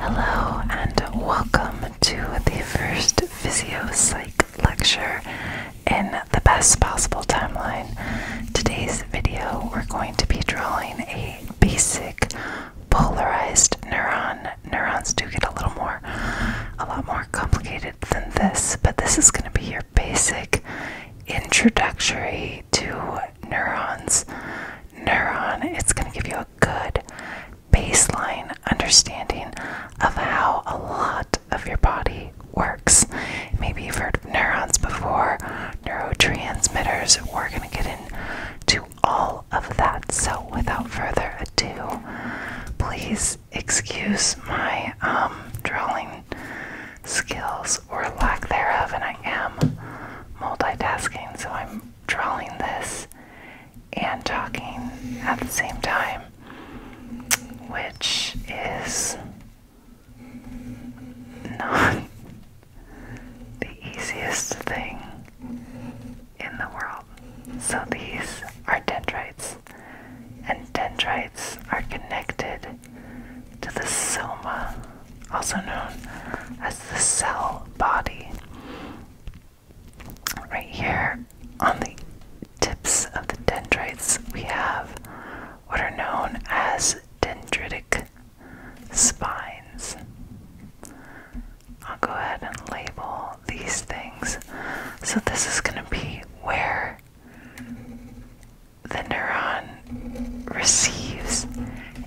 Hello and welcome to the first Physiopsych lecture in the best possible timeline. Today's video we're going to be drawing a basic polarized neuron. Neurons do get a little more, a lot more complicated than this, but this is going to be your basic introductory to neurons. Neuron, it's going to give you a good baseline understanding of how a lot of your body works. Maybe you've heard of neurons before, neurotransmitters. We're going to get into all of that. So, without further ado, please excuse my um, drawing skills or lack thereof, and I am multitasking, so I'm drawing this and talking at the same time, which is not the easiest thing in the world. So these are dendrites, and dendrites are connected to the soma also known as the cell body. Right here on the tips of the dendrites, we have what are known as dendritic spines. I'll go ahead and label these things. So, this is going to be where the neuron receives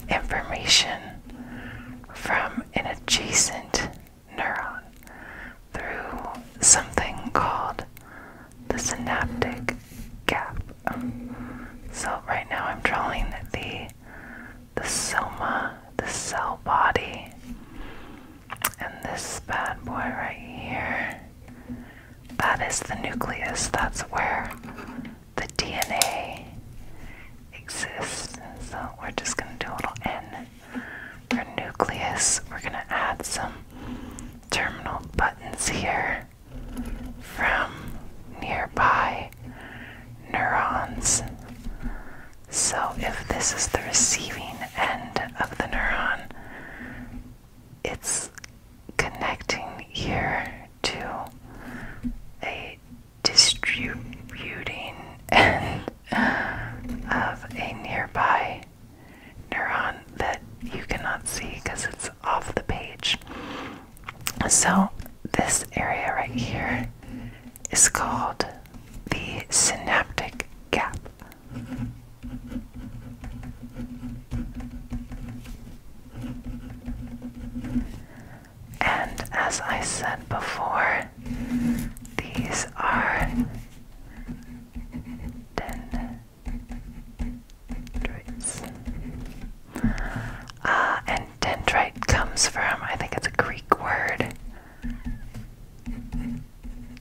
information from an adjacent neuron through something called the synaptic gap. So right now I'm drawing the the soma, the cell body, and this bad boy right here. That is the nucleus. That's where the DNA exists. So we're just going to do a little N our nucleus. We're going to add some terminal buttons here from nearby neurons. So if this is the receiving end of the neuron, it's connecting here to a distributing end of a nearby neuron that you cannot see because it's off the page. So, this area right here is called the synaptic gap. And as I said before, these are dendrites. Uh, and dendrite comes from, I think it's a Greek word,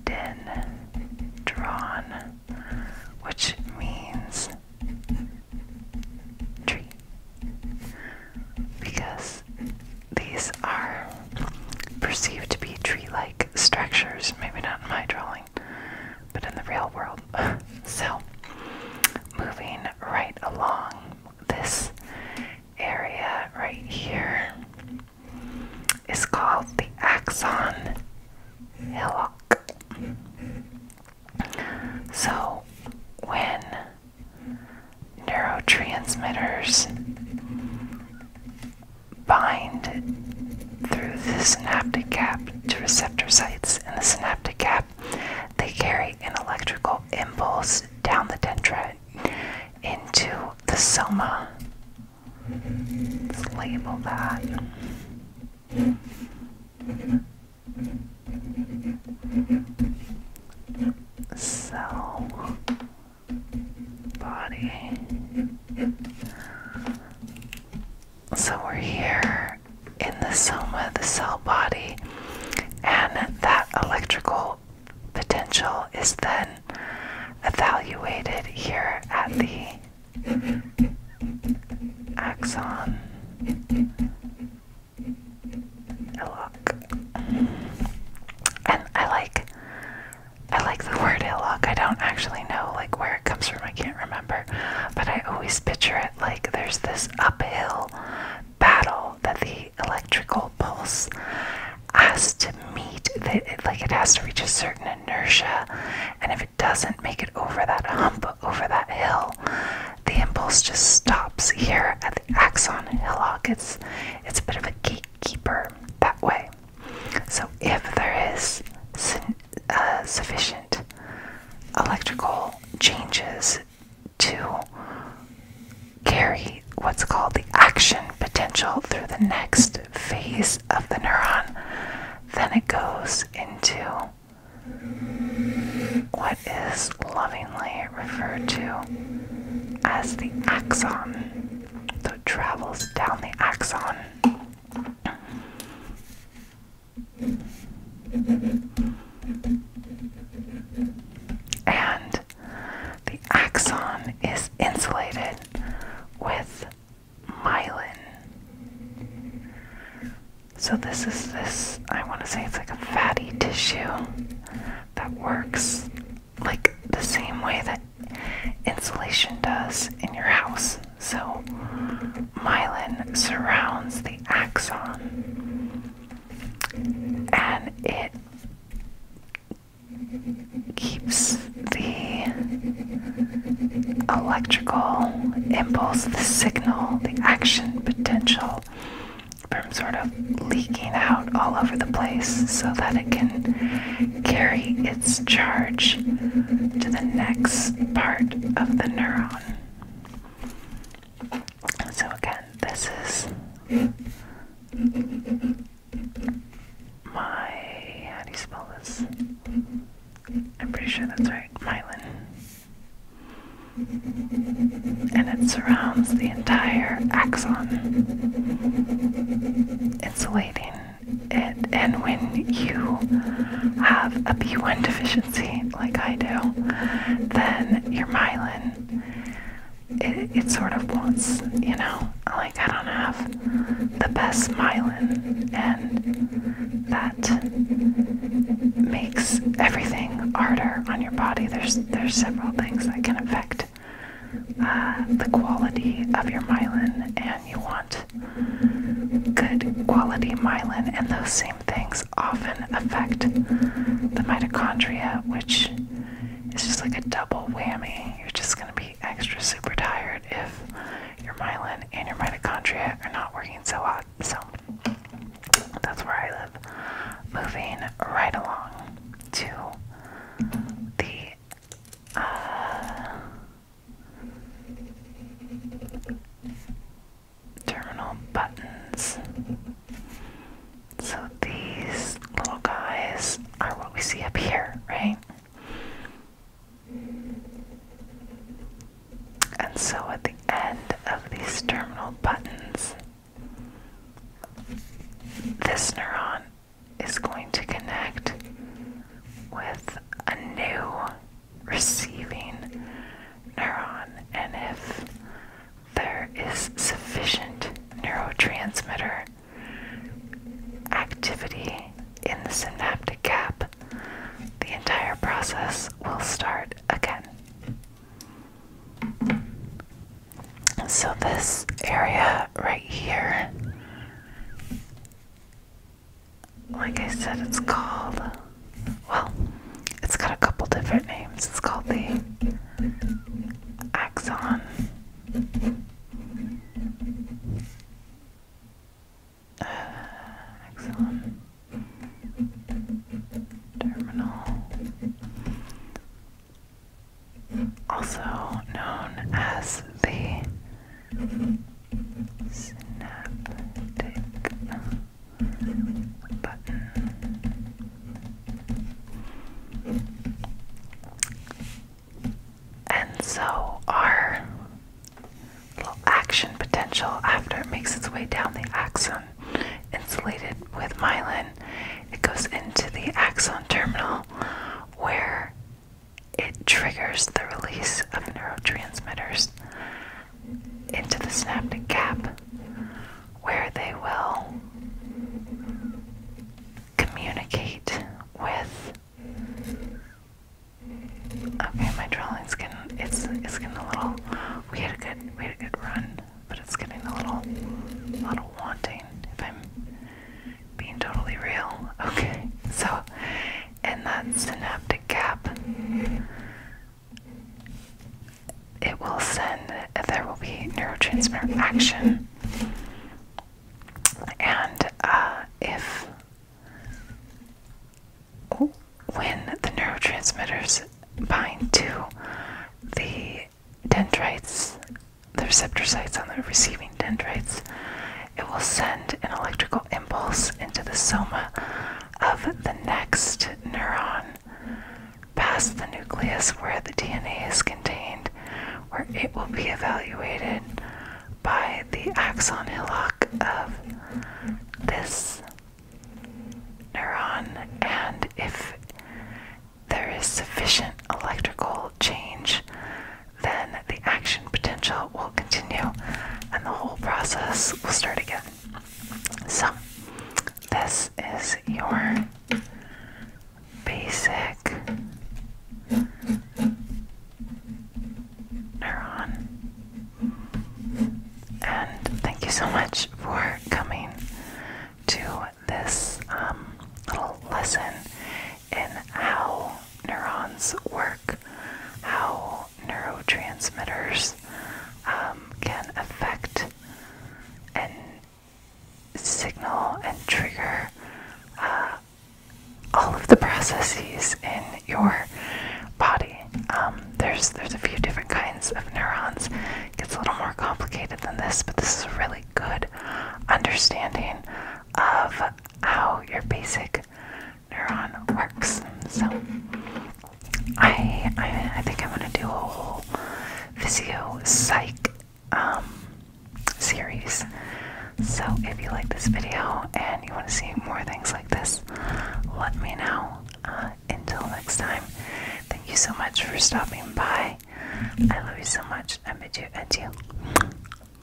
den, drawn, which means tree, because these are perceived to be tree like structures, maybe not in my drawing, but in the real world. so, moving right along this area right here is called the axon hillock. So, when neurotransmitters bind through the synaptic gap to receptor sites in the synaptic gap, they carry an electrical impulse down the dendrite into the soma Let's label that. Cell body. So we're here in the soma, the cell body, and that electrical potential is then evaluated here at the axon hillock. And I like I like the word hillock. I don't actually know like where it comes from, I can't remember. But I always picture it like there's this uphill battle that the electrical pulse has to meet that like it has to reach a certain inertia and if it doesn't make it over that hump over that hill the impulse just stops here at the axon hillock it's it's a bit of a gatekeeper that way so if there is uh, sufficient electrical changes to carry what's called the action potential through the next phase of the neuron, then it goes into what is lovingly referred to as the axon. So travels down the axon. And the axon is insulated with myelin. So, this is this, I want to say it's like a fatty tissue that works like the same way that insulation does in your house. So, myelin surrounds the axon and it keeps the electrical impulse, the signal, the action potential from sort of leaking out all over the place so that it can carry its charge to the next part of the neuron. So, again, this is my how do you spell this? I'm pretty sure that's right, myelin. And it surrounds the entire axon, insulating it. And when you have a B1 deficiency, like I do, then your myelin it, it sort of wants, you know, like I don't have the best myelin, and that makes everything harder on your body. There's there's several things that can affect uh, the quality of your myelin, and you want good quality myelin, and those same things often affect the mitochondria, which is just like a double whammy. You're just going to be extra super tired if your myelin and your mitochondria are not working so hot. So that's where I live. Moving right along to the uh, terminal buttons. So these little guys are what we see up here, right? And so at the end of these terminal buttons, this neuron is going to connect with a new receiving neuron. And if there is sufficient neurotransmitter activity in the synaptic gap, the entire process will start again. So, this area right here, like I said, it's called well, it's got a couple different names. It's called the axon. Uh, axon terminal, also known as the synaptic and so our little action potential after it makes its way down the axon insulated with myelin, it goes into the axon terminal where it triggers the release of neurotransmitters into the synaptic gap where they will communicate with okay my drawing's getting it's it's getting a little we had a good we had a good run but it's getting a little a little wanting if I'm being totally real okay so in that synaptic gap it will send, there will be neurotransmitter action. And uh, if, when the neurotransmitters bind to the dendrites, the receptor sites on the receiving dendrites, it will send an electrical impulse into the soma of the next neuron past the nucleus where the DNA is contained, where it will be evaluated by the axon hillock of this neuron, and if there is sufficient electrical change, then the action potential uh, will continue and the whole process will start again. So, this is your basic neuron. And thank you so much for coming to this um, little lesson in how neurons work, how neurotransmitters um, can affect and signal and trigger uh, all of the processes in your body. Um, there's there's a few different kinds of neurons. It gets a little more complicated than this, but this is a really good understanding of how your basic neuron works. So I I, think I'm gonna do a whole physio psych um, series. So if you like this video and you want to see more things like this, let me know. Uh, until next time, thank you so much for stopping by. I love you so much. I bid you adieu.